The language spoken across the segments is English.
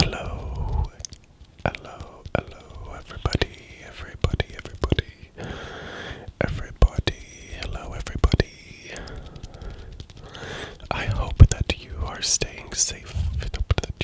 Hello, hello, hello, everybody, everybody, everybody, everybody, hello, everybody. I hope that you are staying safe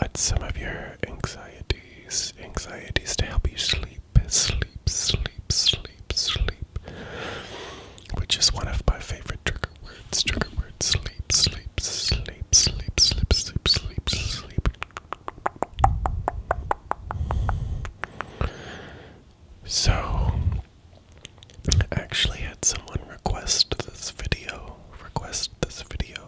at some of your anxieties, anxieties to help you sleep, sleep, sleep, sleep, sleep, which is one of my favorite trigger words. Trigger words: sleep, sleep, sleep, sleep, sleep, sleep, sleep, sleep. So, I actually had someone request this video, request this video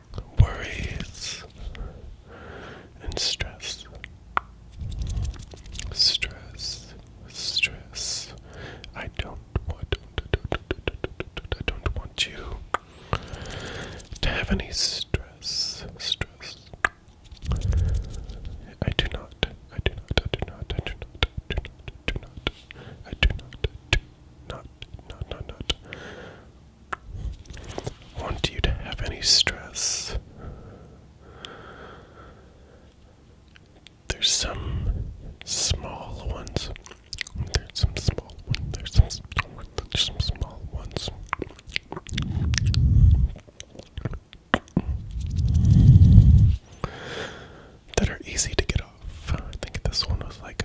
worries and stress. Stress, stress. I don't want, I don't want you to have any stress, stress. I do not, I do not, I do not, I do not, do not, do not, I do not, not, not, not, not want you to have any stress. There's some small ones. There's some small ones. There's some small ones. There's some small ones. That are easy to get off. I think this one was like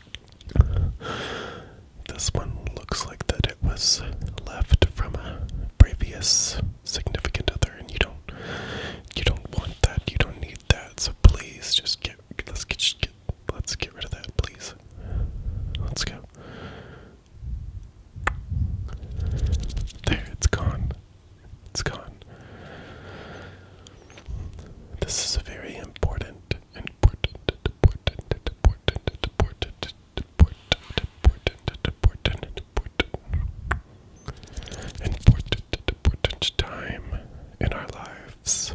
this one looks like that it was left from a previous significant other, and you don't you don't want that. You don't need that. So please, just get let's get get let's get rid of that, please. Let's go. There, it's gone. It's gone. This is a very important, important, important, important, important, important, important, important, important, important, important time in our lives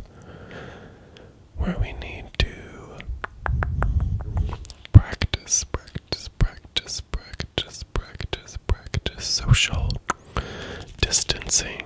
where we need to practice, practice, practice, practice, practice, practice social distancing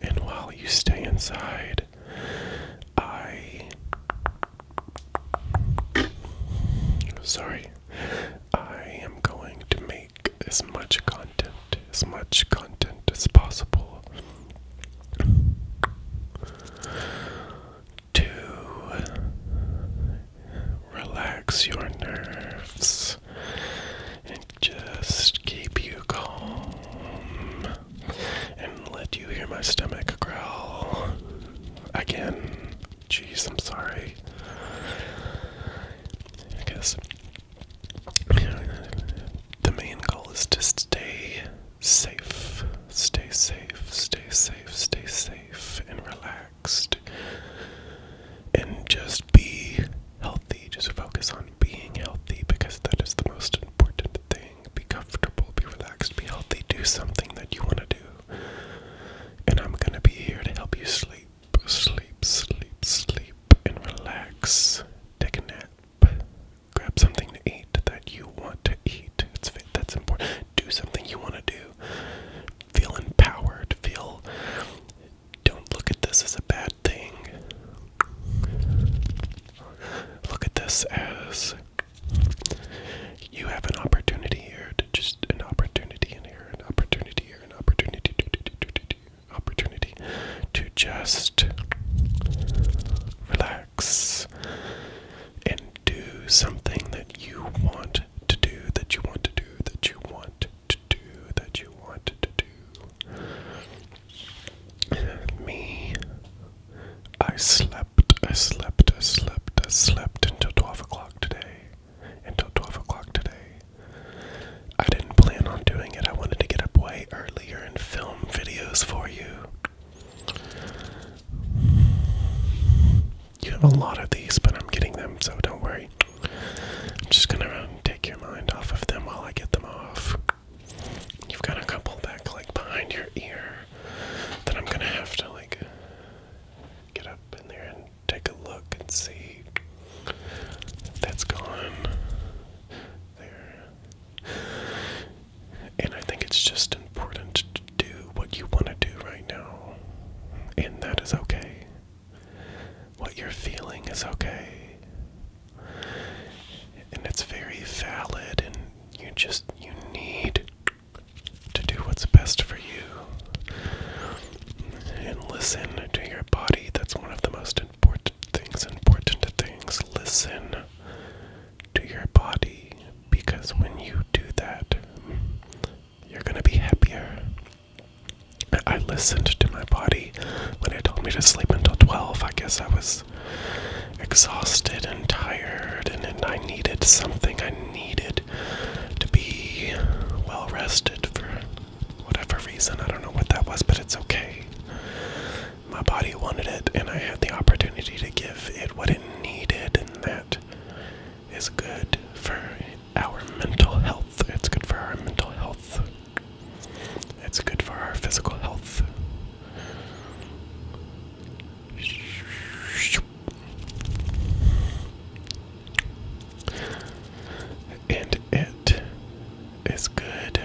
And while you stay inside, I. Sorry. I am going to make as much content, as much content as possible to relax your nerves and just keep you calm and let you hear my stomach growl again. Jeez, I'm sorry. I guess the main goal is to stay safe. Stay safe, stay safe, stay safe, and relaxed and just be healthy. Just focus on being healthy because that is the most important thing. Be comfortable, be relaxed, be healthy, do something that you want to do. And I'm going to be here to help you sleep, sleep, sleep, sleep, and relax. Take a nap. Grab something to eat that you want to eat. It's fit. That's important. Do something you want to do. Feel empowered. Feel don't look at this as a bad thing. Look at this as you have an opportunity here to just an opportunity in here, an opportunity here, an opportunity opportunity to just relax and do something that you want to do, that you want to do, that you want to do that you wanted to do. Me, I slept, I slept, I slept, I slept until 12 o'clock today. Until 12 o'clock today. I didn't plan on doing it. I wanted to get up way earlier and film videos for you. You have a lot of these, but I'm getting them, so don't worry. I'm just gonna take your mind off of them while I get them off. You've got a couple back like behind your ear that I'm gonna have to like get up in there and take a look and see. That's gone. There. And I think it's just important to do what you want to do right now. And that is okay. What you're feeling is okay. And it's very valid, and you just, you need to do what's best for you. And listen to your body. That's one of the most important things, important things. Listen to your body because when you do that, you're going to be happier. I listened to my body when it told me to sleep until 12. I guess I was exhausted and tired, and, and I needed something. I needed to be well rested for whatever reason. I don't know what that was, but it's okay. My body wanted it, and I had the opportunity to give it what it needed, and that is good for our mental health. It's good for our mental health. It's good for our physical health. And it is good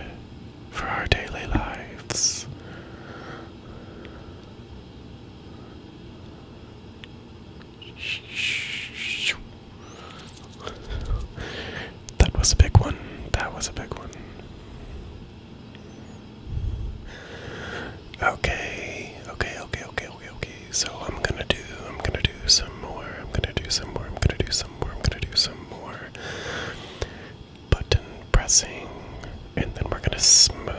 for our daily lives that was a big one. That was a big one. Okay, okay, okay, okay, okay, okay. So I'm gonna do, I'm gonna do some more, I'm gonna do some more, I'm gonna do some more, I'm gonna do some more button pressing, and then we're gonna smooth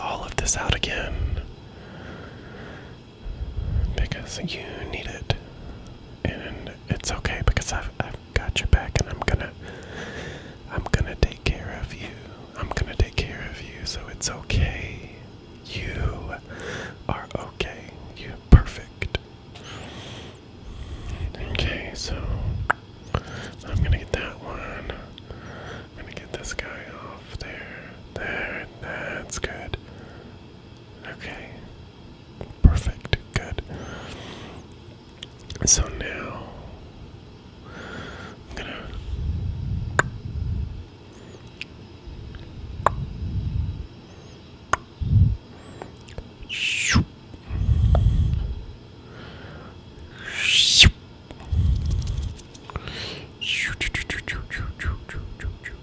all of this out again. Because you need it. And it's okay because I've I've got your back and I'm gonna I'm gonna take care of you. I'm gonna take care of you, so it's okay. You are okay. You're perfect. Okay, so I'm gonna get that one. I'm gonna get this guy off there. There, that's good. Okay. Perfect, good. So now I'm gonna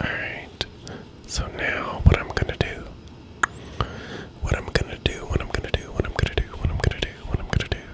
All right. So now what I'm going to do what I'm gonna do, what I'm gonna do, what I'm gonna do, what I'm gonna do, what I'm gonna do,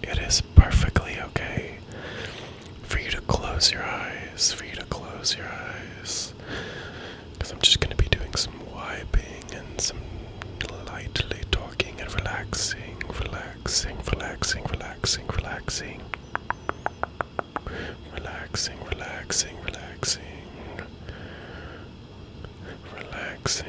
it is perfectly okay for you to close your eyes, for you to close your eyes. Because I'm just going to be doing some wiping and some lightly talking and relaxing, relaxing, relaxing, relaxing, relaxing. Relaxing, relaxing, relaxing. Relaxing. Relaxing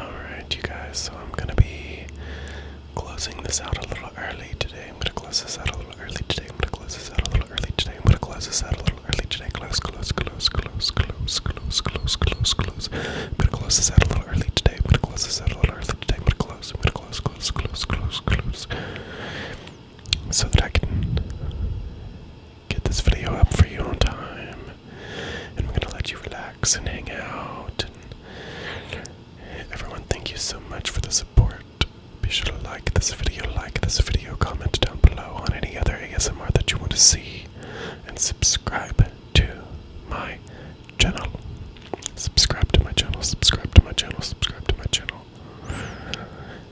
All right, you guys, so I'm going to be closing this out a little early today. I'm going to close this out a little early today. I'm going to close this out a little little early today. I'm gonna close this out a little early today. Close, close, close, close, close, close, close, close, close. I'm gonna close this out a little early today. I'm gonna close this out a little early today. I'm gonna close. I'm gonna close, close, close, close, close. So that I can get this video up for you on time. And we're gonna let you relax and hang out. And everyone, thank you so much for the support. Be sure to like this video, like this video, comment down below on any other ASMR that you want to see, and subscribe to my channel. Subscribe to my channel, subscribe to my channel, subscribe to my channel.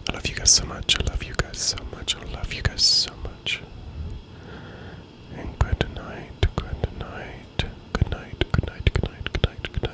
I love you guys so much, I love you guys so much, I love you guys so much. And good night, good night, good night, good night, good night, good night. Good night